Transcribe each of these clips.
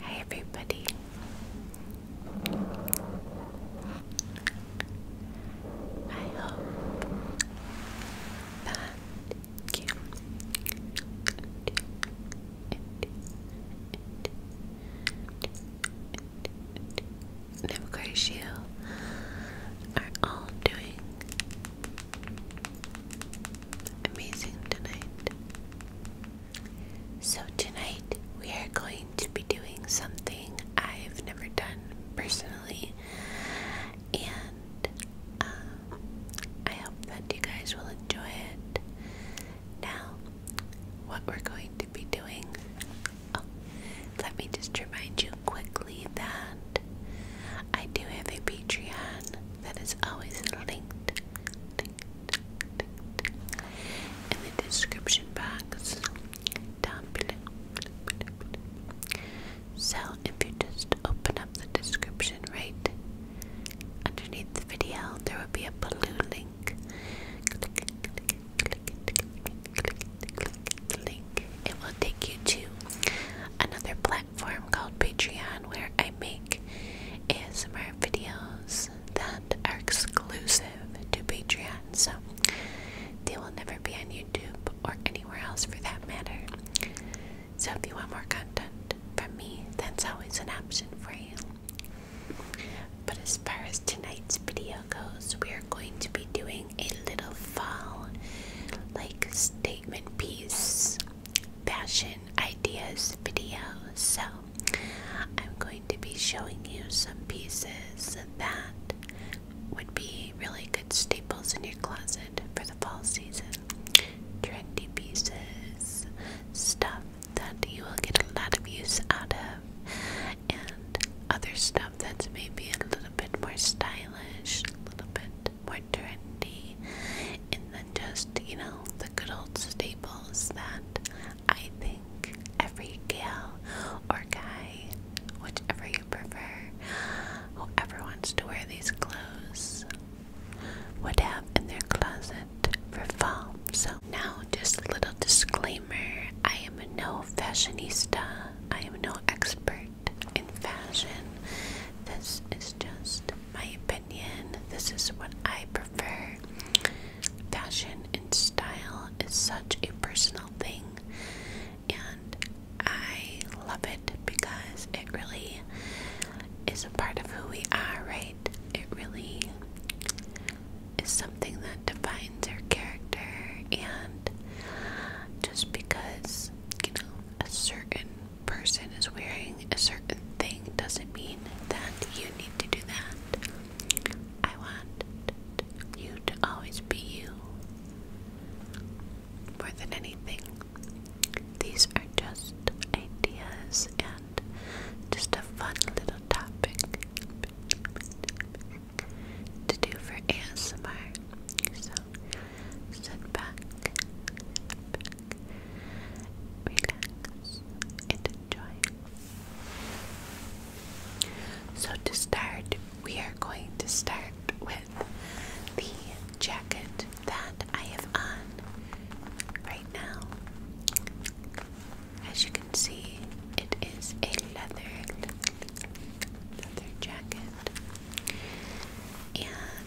Hi, everybody. I hope that you of course you are all doing amazing tonight. So, tonight we are going to be doing something I've never done personally, and um, I hope that you guys will enjoy it. Now, what we're going to be doing, oh, let me just remind you quickly that I do have a Patreon that is always linked, in the description box down below. So if you just open up the description right underneath the video, there will be a blue link. Click it, link. will take you to another black. Form called Patreon where I make ASMR videos that are exclusive to Patreon. So they will never be on YouTube or anywhere else for that matter. So if you want more content from me, that's always an option for you. But as far as tonight's video goes, we are going to be doing a little fall like statement piece fashion ideas video. So, I'm going to be showing you some pieces that would be really good staples in your closet for the fall season. Trendy pieces, stuff that you will get a lot of use out of, and other stuff that's maybe a little bit more stylish, a little bit modernity, and then just, you know, the good old staples that I think every girl or guy, whichever you prefer, whoever wants to wear these clothes, would have in their closet for fall. So, now just little disclaimer I am no fashionista, I am no expert in fashion. This is just my opinion. This is what I prefer. Fashion and style is such a personal thing, and I love it because it really is a part of who we are, right? It really is something that defines our character, and just because, you know, a certain person is wearing a certain thing doesn't mean that you need to do that. I want you to always be you more than anything. These are just ideas and just a fun little topic to do for ASMR. Sit back, relax, enjoy. So, to start, we are going to start with the jacket that I have on right now. As you can see, it is a leather leather jacket, and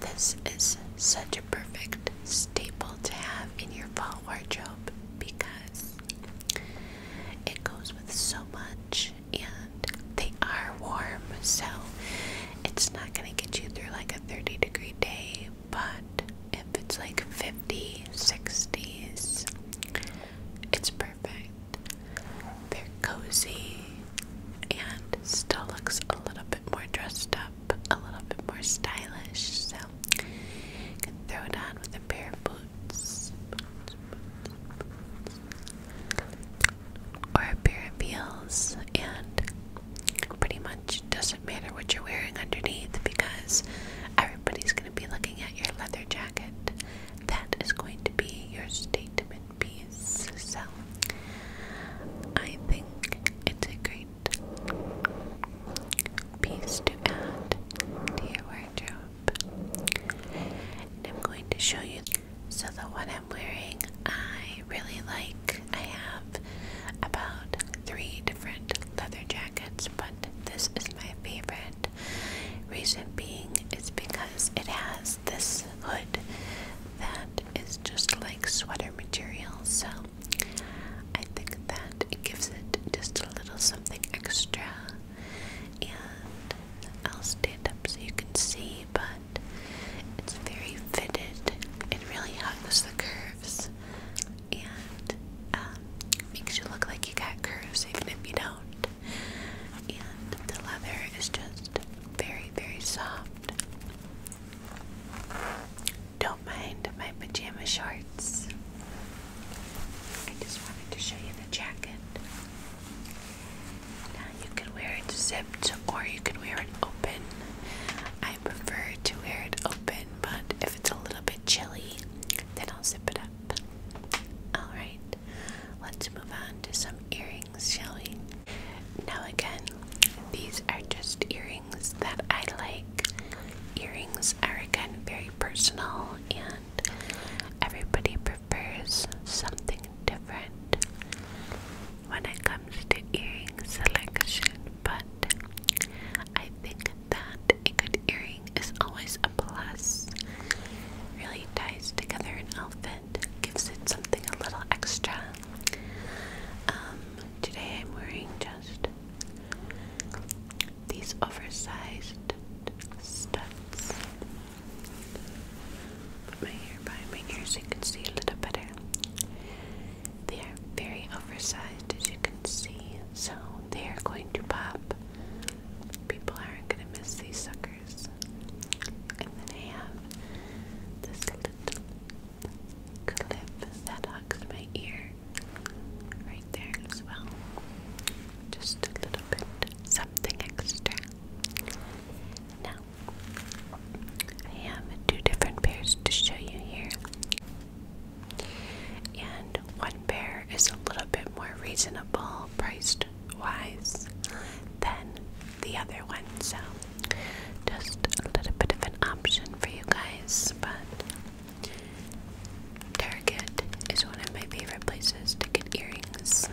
this is such a perfect staple to have in your fall wardrobe because it goes with so much and they are warm, so it's not going to get you through like a 30 degree day, but if it's like 50, 60s, it's perfect. They're cozy, and still looks a little bit more dressed up, a little bit more stylish. So, you can throw it on with a pair of boots, boots, boots, boots or a pair of heels, and pretty much doesn't matter what you're wearing underneath because everybody's going to be looking at your leather jacket. That is going to be your statement piece. So I think it's a great piece to add to your wardrobe. I'm going to show you. So the one I'm wearing, I really like. I have about three different leather jackets, but this is my favorite. Reason being is because it has this this hood that is just like sweater material. So I think that it gives it just a little something extra. And I'll stand up so you can see, but it's very fitted. It really hugs the curves and um, makes you look like you got curves even if you don't and the leather is just very, very soft. Don't mind my pajama shorts. I just wanted to show you the jacket. Now you can wear it zipped or you can wear it open. I prefer to wear it open, but if it's a little bit chilly, then I'll zip it up. Alright, Let's move on to some earrings, shall we? Now, again, these are just earrings that I like. Earrings are again very personal, and everybody prefers something different when it comes to earring selection. But I think that a good earring is always a plus. Really ties together an outfit gives it something a little extra. Um, today I'm wearing just these oversized studs. Put my hair by my ears so you can see a little better. They are very oversized as you can see, so they are going to pop. People aren't going to miss these suckers. And then I have this little clip that hugs my ear right there as well. Just a little bit something extra. Now, I have two different pairs to show you here. And one pair is a little bit more reasonable priced wise than the other one, so just a little bit of an option for you guys. But Target is one of my favorite places to get earrings.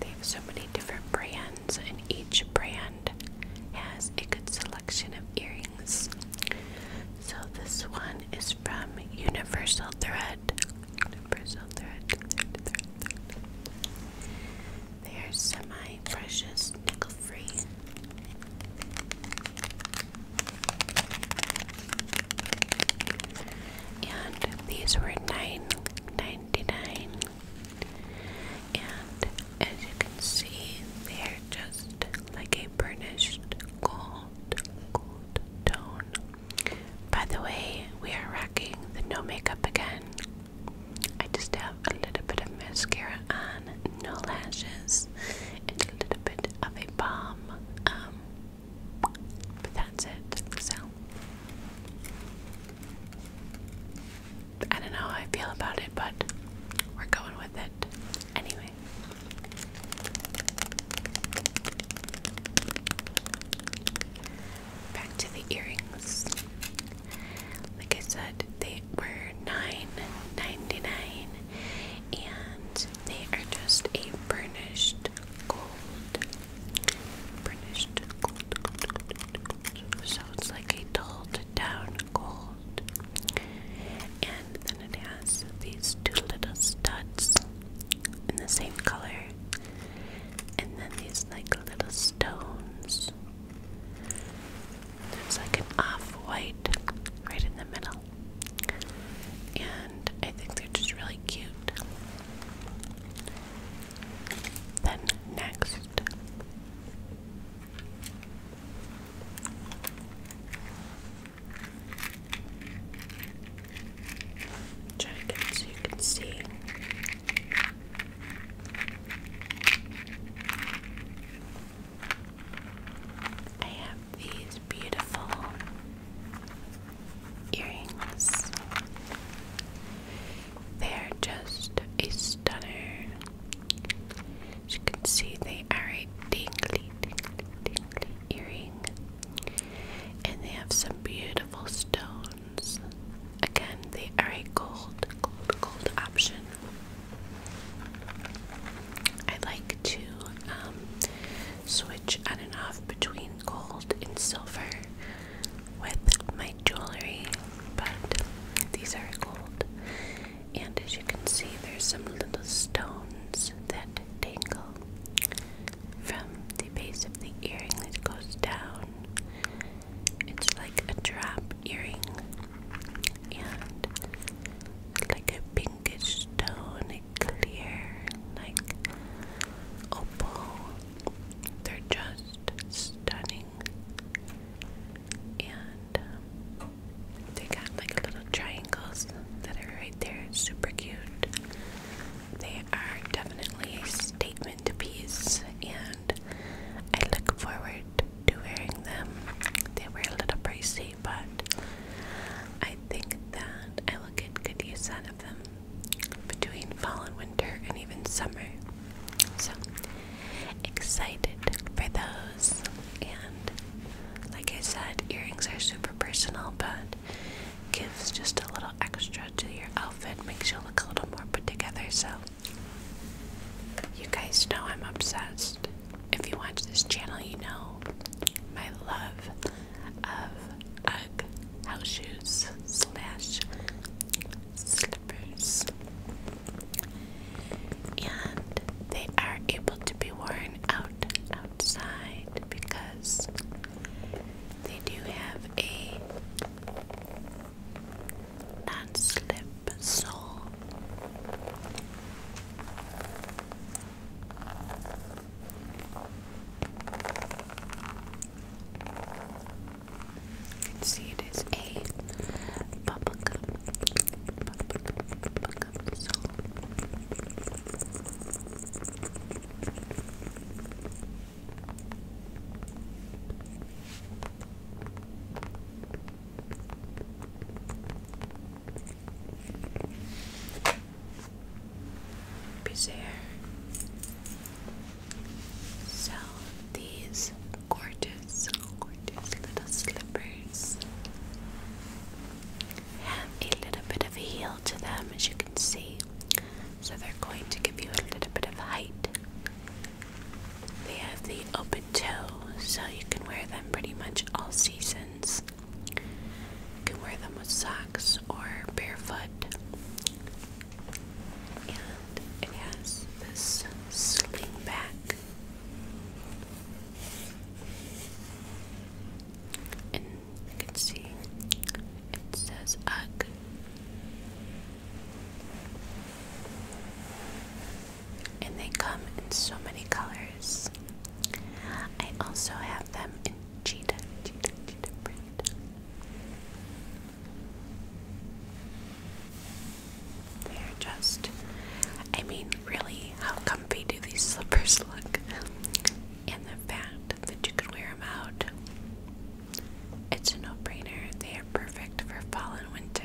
They have so many different brands, and each brand has a good selection of earrings. So, this one is from Universal Thread. They are semi-precious, nickel-free. And these were nine ninety-nine. And as you can see, they are just like a burnished gold, gold tone by the way, we are rocking the no makeup again. I just have a little bit of mascara on, no lashes, and a little bit of a balm. Um, but that's it. So I don't know how I feel about it, but we're going with it anyway. Back to the earrings. Like I said, they were nine ninety nine, and they are just a burnished gold. Burnished gold. So it's like a dulled down gold. And then it has these two little studs in the same color. And then these like little stones. There's like an off-white right in the middle. And I think they're just really cute. Then next Try so you can see. I have these beautiful earrings. They're just a stunner. As you can see, they are a dingly, dingly, dingly, earring. And they have some beautiful stones. Again, they are a gold, gold, gold option. I like to um, switch on and off between gold and silver with my jewelry, but these are gold. And as you can see, there's some little stones that dangle from the base of the earring that goes down. It's like a drop earring and like a pinkish stone, a clear, like opal. They're just stunning. And um, they got like little triangles that are right there, super cute. They are definitely a statement piece, and I look forward to wearing them. They were a little pricey, but I think that I will get good use out of them between fall and winter and even summer. So excited for those. And like I said, earrings are super personal, but gives just a little extra to your outfit, makes you look a little more put together. So, you guys know I'm obsessed. If you watch this channel, you know my love of UGG house shoes slash slippers. And they are able to be worn out outside because they do have a non slip sole. see it is a bubblegum, so So these gorgeous, gorgeous little slippers have a little bit of heel to them, as you can see. So they're going to give you a little bit of height. They have the open toe, so you can wear them pretty much all seasons. You can wear them with socks or barefoot. And it has this sling back. You can see it says "ug", And they come in so many colors. I also have them in cheetah, They're just, I mean, really, how comfy do these slippers look? and the fact that you can wear them out. It's a no-brainer. They are perfect for fall and winter.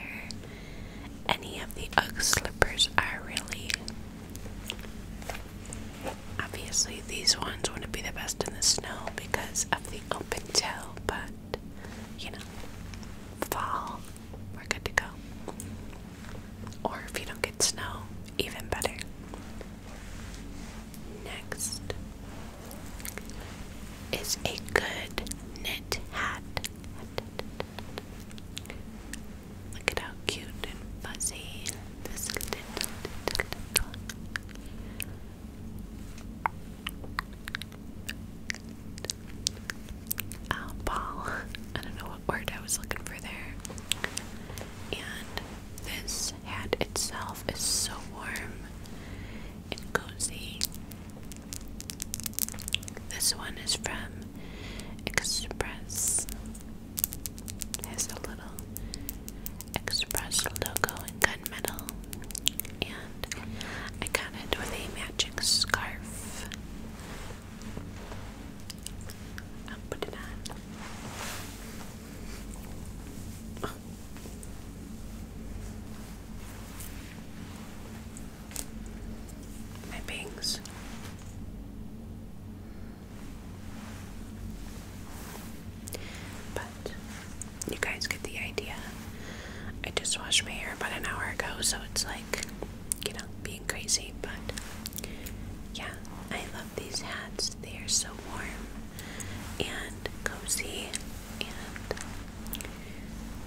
Any of the UGG slippers are really. Obviously, these ones wouldn't be the best in the snow because of the open toe, but you know, fall, we're good to go. Or if you don't get snow, even better. Next is a good knit hat. Look at how cute and fuzzy this is. Ow, ball. I don't know what word I was looking for there and this hat itself is so warm and cozy. This one is from Express. It a little Express logo in gunmetal, and I got it with a magic scarf. I'll put on. My bangs. But you guys get the idea. I just washed my hair about an hour ago, so it's like, you know, being crazy. But yeah, I love these hats. They are so warm and cozy and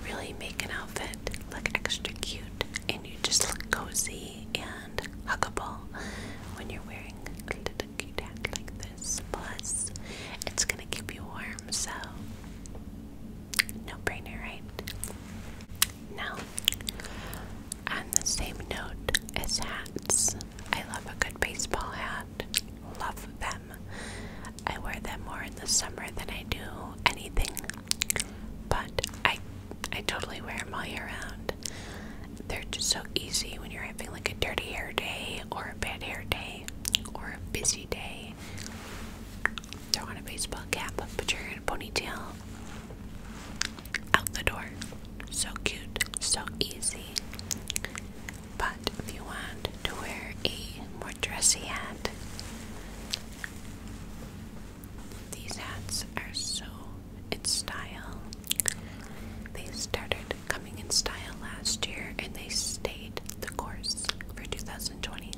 really make an outfit look extra cute and you just look cozy and huggable when you're wearing a little cute hat like this. Plus, it's gonna keep you warm, so no brainer, right? now. On the same note as hats, I love a good baseball hat. Love them. I wear them more in the summer than I do anything, but I I totally wear them all year round. They're just so easy when you're having like a dirty hair day or a bad hair day or a busy day. Throw on a baseball cap, but you're in a ponytail, out the door. So cute, so easy. But if you want to wear a more dressy hat, these hats are so in style. They started coming in style last year and they stayed the course for 2020.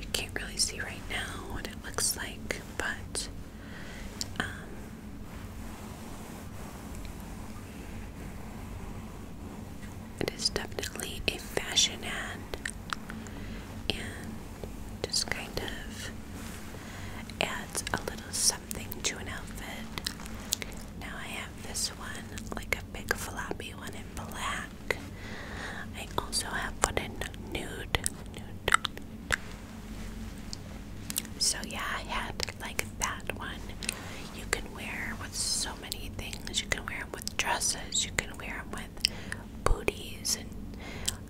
You can't really see right now what it looks like, but um, it is definitely a fashion ad and just kind of adds a little something to an outfit. Now I have this one, like a big floppy one in black. I also have one in nude. nude. So yeah, I had like that one. You can wear with so many things. You can wear them with dresses. You can wear them with booties and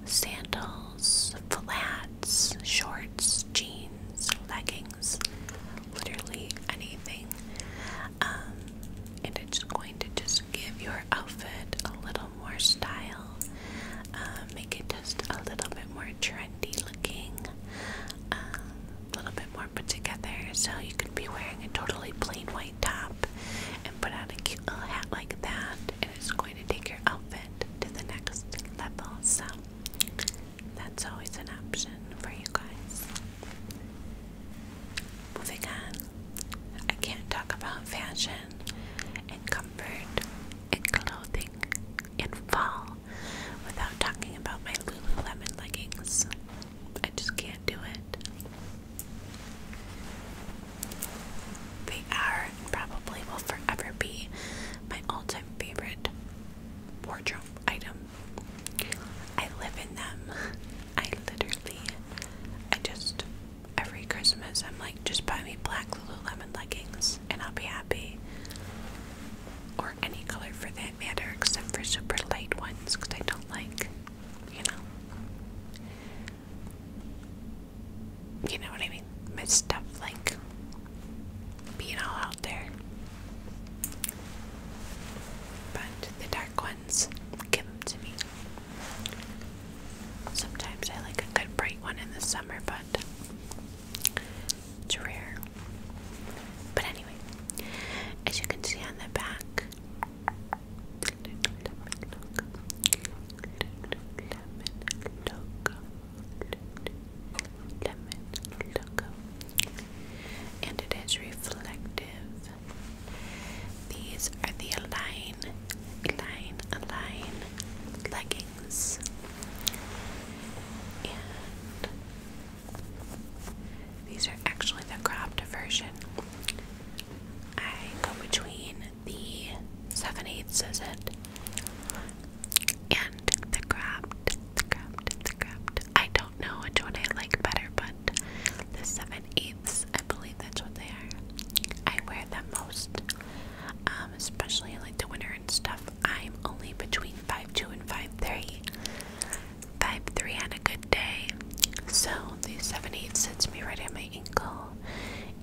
sandals, flats, shorts, jeans, leggings, literally anything. Um, and it's going to just give your outfit a little more style, um, make it just a little bit more trendy looking, um, a little bit more put together. So you could be wearing a totally plain white top and put on a cute little hat like that, and it's going to take your outfit to the next level. So that's always an option for you guys. Moving on, I can't talk about fashion and comfort and clothing in fall without talking about my Lululemon leggings. I just can't do it. They are and probably will forever be my all-time favorite wardrobe item. I live in them. I literally, I just every Christmas I'm like, just buy me black Lululemon leggings and I'll be happy. Or any color for that matter, except for super light ones, because I don't like, you know you know what I mean? It's stuff like being all out there. But the dark ones, give them to me. Sometimes I like a good bright one in the summer, but it's rare. But anyway, as you can see on the back, and it is reflective. These are the Align, Align, Align leggings, and these are actually the cropped version. I go between the 7 is it? And the craft, the craft, the craft. I don't know which one I like better, but the 7 I believe that's what they are. I wear them most, um, especially in, like the winter and stuff. I'm only between five two and Five three on a good day. So the 7 eighths me right at my ankle.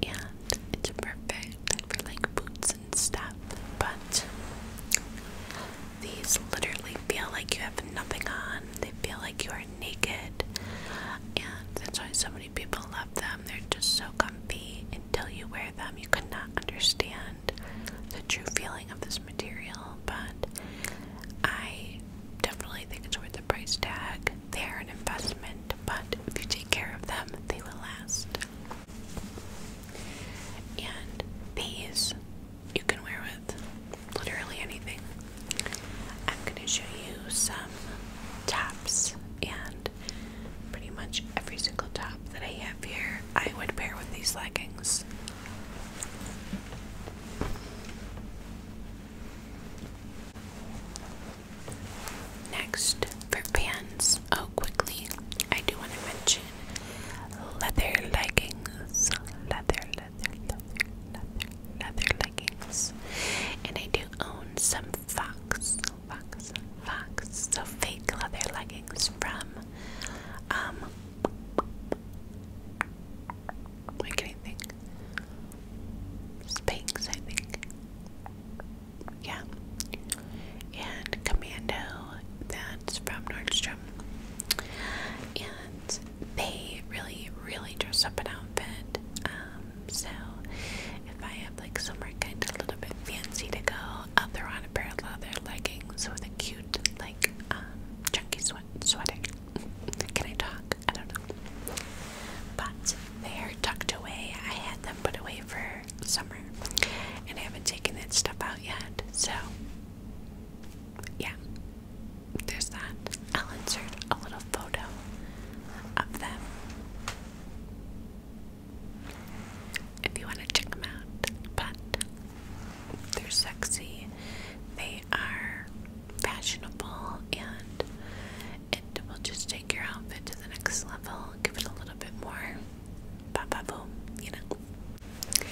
And it's perfect for like boots and stuff, but these literally feel like you have nothing on. They feel like you are naked, and that's why so many people love them. They're just so comfy. Until you wear them, you cannot understand the true feeling of this material. But I definitely think it's worth the price tag. They are an investment, but if you take care of them, they will last. And these you can wear with literally anything. I'm going to show you some tops, and pretty much every single top that I have here, I would pair with these leggings. Next, for pants, oh, quickly, I do want to mention leather leggings. Leather, leather, leather, leather, leggings. And I do own some fox, fox, fox, so fake leather leggings from, um, what can I think? Spanx, I think. Yeah. And Commando, that's from Nordstrom. And they really, really dress up an outfit. Um, so if I have like somewhere kind of a little bit fancy to go, I'll throw on a pair of leather leggings with a cute, like, um, chunky sweat sweater. Can I talk? I don't know. But they're tucked away. I had them put away for summer, and I haven't taken that stuff out yet. So, yeah, there's that. I'll insert a little photo of them if you want to check them out. But they're sexy, they are fashionable, and it will just take your outfit to the next level, give it a little bit more pop pop boom, you know.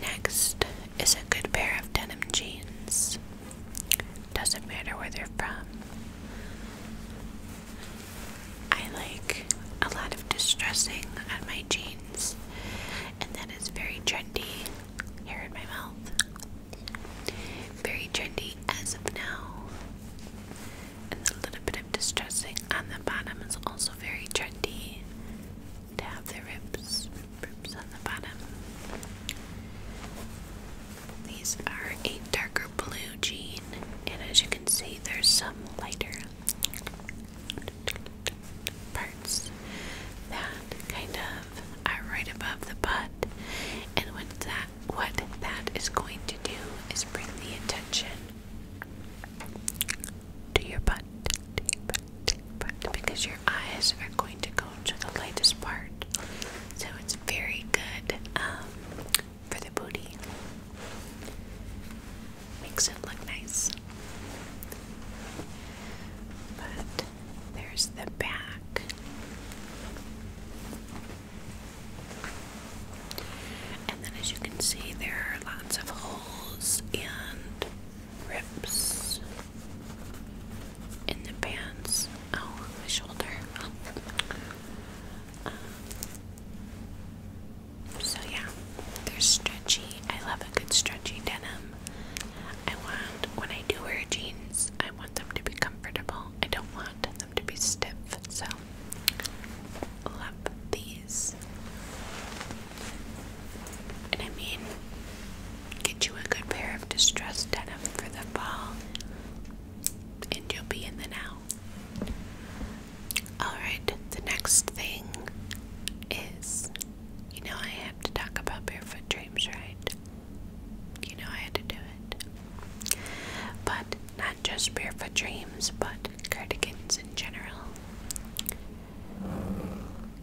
Next is a good pair of denim jeans. Doesn't matter where they're from. I like a lot of distressing on my jeans, and that is very trendy here in my mouth. Very trendy as of now and a little bit of distressing on the bottom is also very trendy to have the ribs, ribs on the bottom. These are a darker blue jean, and as you can see, there's some lighter parts that kind of are right above the butt. And with that, what that is going to do is bring the attention to your butt, because your eyes are going to go to the lightest part. So it's very good um, for the booty. Makes it look nice. But there's the back. And then, as you can see, there are lots of holes and rips in the pants. Oh, my shoulder. Um, so, yeah, they're stretchy. I love a good stretchy denim. I want, when I do wear jeans, I want them to be comfortable. I don't want to be stiff, so love these. And I mean, get you a good pair of distressed denim for the fall, and you'll be in the now. Alright, the next thing is you know, I have to talk about Barefoot Dreams, right? You know, I had to do it. But not just barefoot dreams, but cardigans in general.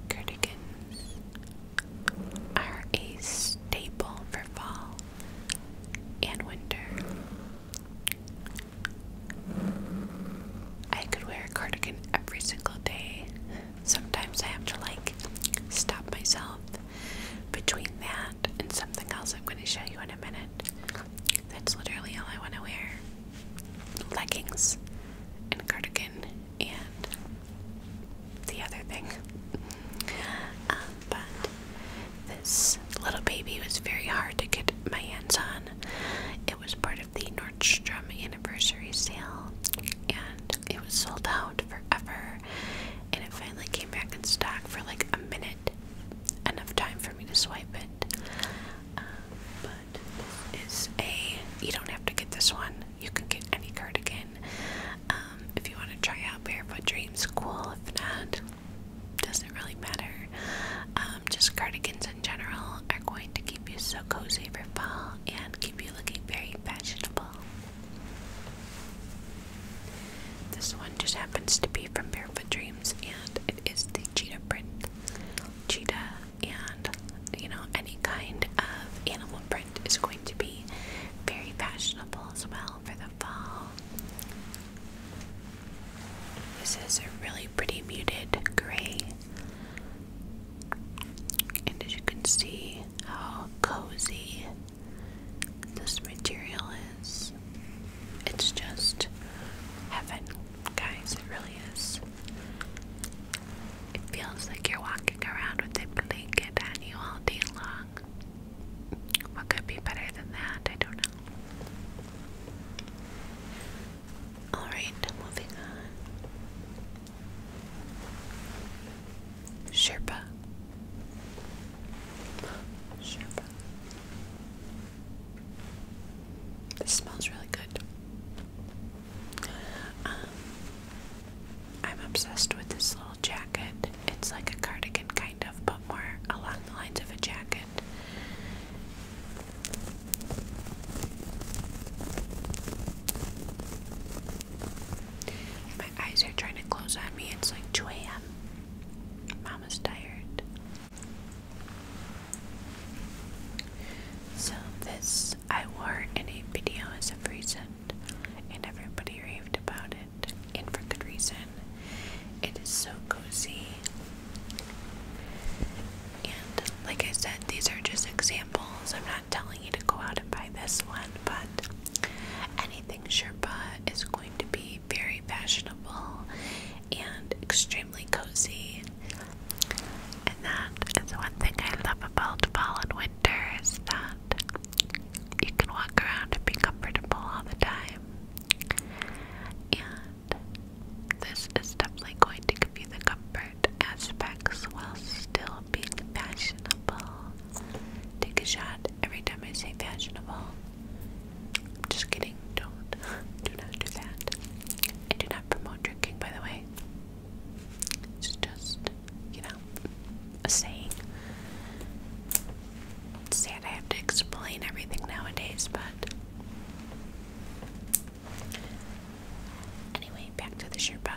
Cardigans are a staple for fall and winter. I could wear a cardigan every single day. Sometimes I have to like stop myself between that and something else I'm going to show you in a minute. That's literally all I want to wear leggings and cardigan and the other thing. Um, but this little baby was very hard to get my hands on. It was part of the Nordstrom anniversary sale and it was sold out forever and it finally came back in stock for like a minute. Enough time for me to swipe it. Uh, but is a, you don't have to get this one. You can get any cardigan. Um, if you want to try out Barefoot Dreams, cool. If not, doesn't really matter. Um, just cardigans in general are going to keep you so cozy for fall and keep you looking very fashionable. This one just happens to be from Barefoot Dreams and it is the cheetah print. Cheetah and you know any kind of animal print is going to be very fashionable as well for the fall. This is a really pretty muted gray. And as you can see, how cozy this material is. It's just heaven, guys, it really is. It feels like you're walking around with a blanket on you all day long. What could be better than that? I don't know. Alright, moving on. Sherpa. Sherpa. This smells really good. Um, I'm obsessed with this little jacket. It's like a cardigan, kind of, but more along the lines of a jacket. My eyes are trying to close on me. It's like 2 a.m. Mama's tired. So this I wore in a video as of recent, and everybody raved about it, and for good reason. It is so cozy. And like I said, these are just examples. I'm not telling you to go out and buy this one, but Anything Sherpa is going to be very fashionable and extremely cozy. And that is one thing I love about fall and winter is that you can walk around and be comfortable all the time. And this is definitely going to give you the comfort aspects while still being fashionable. Take a shot every time I say fashionable. Just kidding, don't. Do not do that. I do not promote drinking, by the way. It's just, you know, a saying. sad I have to explain everything nowadays, but. Anyway, back to the Sherpa.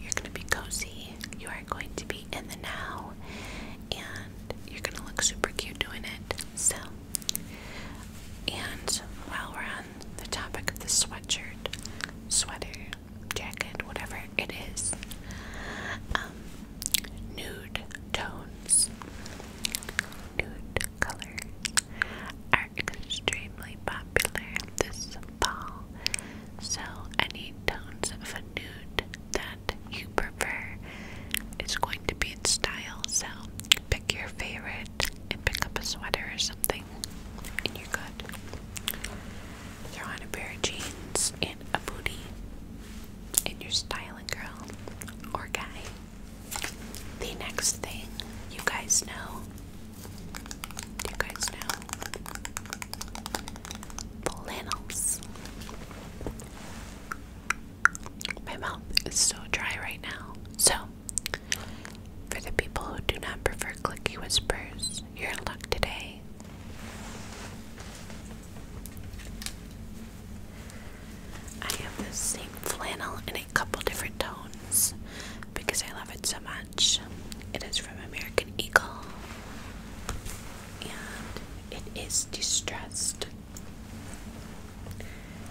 You're gonna be cozy you are going to be in the now and you're going to look super cute doing it. So, and while we're on the topic of the sweatshirt, sweater, jacket, whatever it is, um, nude tones, nude color are extremely popular this fall. So, any tones of a nude that you prefer is going to be in style. So, pick your favorite and pick up a sweater or something, and you're good. Throw on a pair of jeans and a booty, and you're styling, girl or guy. The next thing you guys know. you guys know? flannels. My mouth is so dry right now. So, for the people who do not prefer clicky whispers, you're in luck today. I have this same flannel in a couple different tones because I love it so much. It is from American Eagle and it is distressed.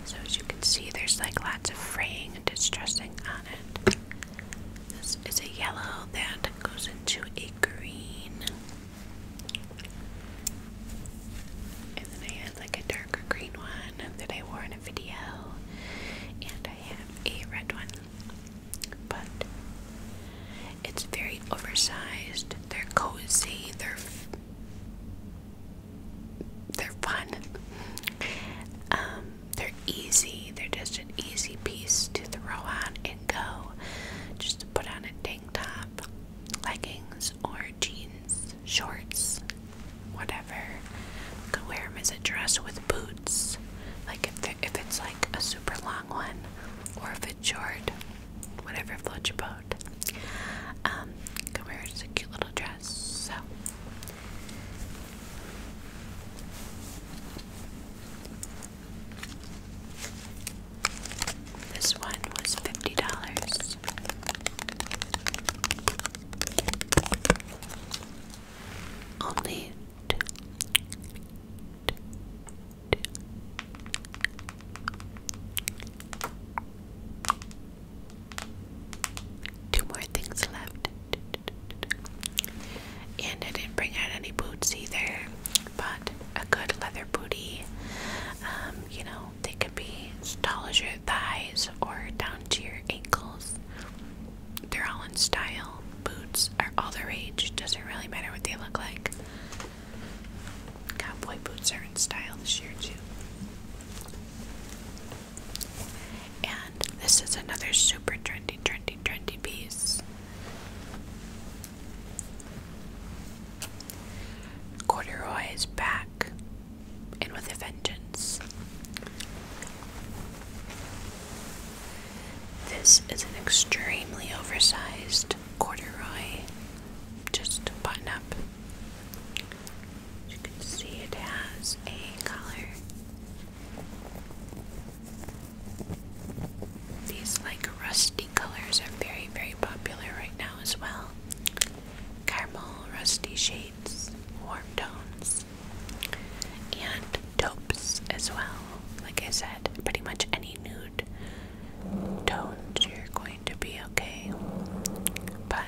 So, as you can see, there's like lots of fraying and distressing on it. This is a yellow that goes into a green, and then I had like a darker green one that I wore in a video, and I have a red one but it's very oversized. They're cozy. They're they're fun. Um, they're easy. They're just an easy piece to throw on and go. Just put on a tank top, leggings, or jeans, shorts, whatever. You could wear them as a dress with boots. Like if if it's like a super long one, or if it's short, whatever floats your boat. can wear it a cute little dress. So, this one was fifty dollars. Only Two more things left. And I didn't bring out any boots either, but a good leather bootie. um, you know, they could be as tall as your thighs or down to your ankles they're all in style. Boots are all the rage. Doesn't really matter what they look like. Cowboy boots are in style this year too. And this is another super trendy, trendy, trendy piece. Corduroy is back and with a vengeance. This is an extremely oversized corduroy, just button up. As you can see, it has a collar. These like rusty colors are very, very popular right now as well. Caramel, rusty shades, warm tones. And topes as well. Like I said, pretty much any nude tones you're going to be okay. But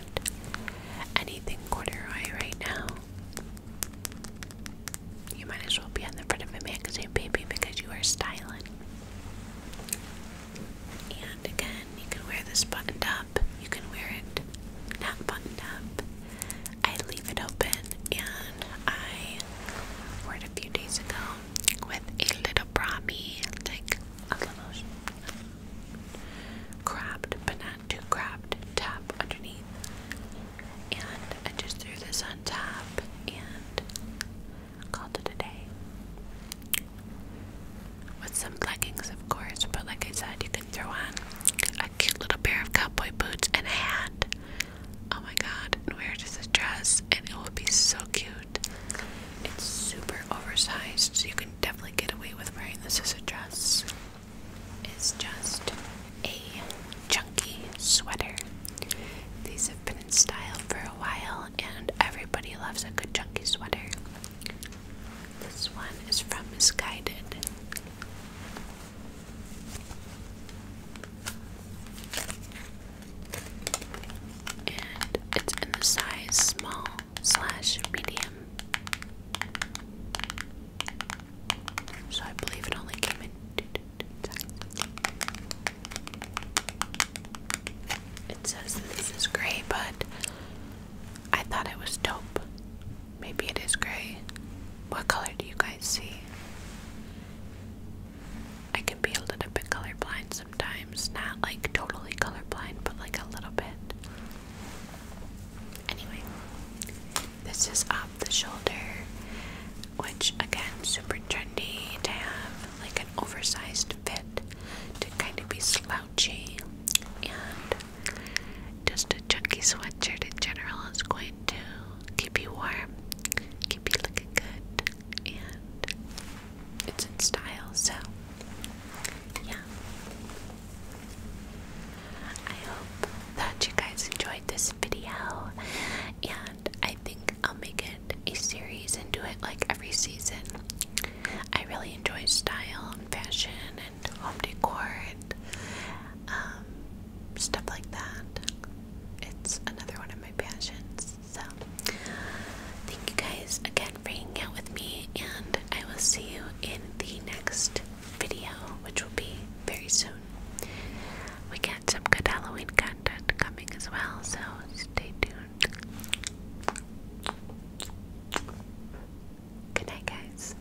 anything corduroy right now, you might as well be on the front of a magazine, baby, because you are styling. And again, you can wear this buttoned up, you can wear it not buttoned up. I leave it open and I wore it a few days ago with a little brahmi, like a little cropped but not too cropped underneath. And I just threw this on top and called it a day. With some leggings, of course, but like I said, you can throw on a cute little pair of cowboy boots and a hat Oh my god, and wear just a dress and it will be so cute. It's super oversized, so you can definitely get away with wearing this as a dress. It's just a chunky sweater. These have been in style for a while and everybody loves a good chunky sweater. This one is from Misguided. And it's in the size small slash medium. So I believe it only came in it says that this is gray, but I thought it was dope. Maybe it is gray. What color do you guys see? I can be a little bit colorblind sometimes. Not like totally colorblind, but like a little bit. Anyway, this is off the shoulder, which again, super trendy to have like an oversized fit to kind of be slouchy. And just a chunky sweatshirt in general is going to keep you warm, keep you looking good, and it's in style, so yeah. I hope that you guys enjoyed this video, and I think I'll make it a series and do it like every season. I really enjoy style and fashion and home decor um, stuff like that. It's another one of my passions. So, thank you guys again for hanging out with me, and I will see you in the next video, which will be very soon. We got some good Halloween content coming as well, so stay tuned. Good night, guys.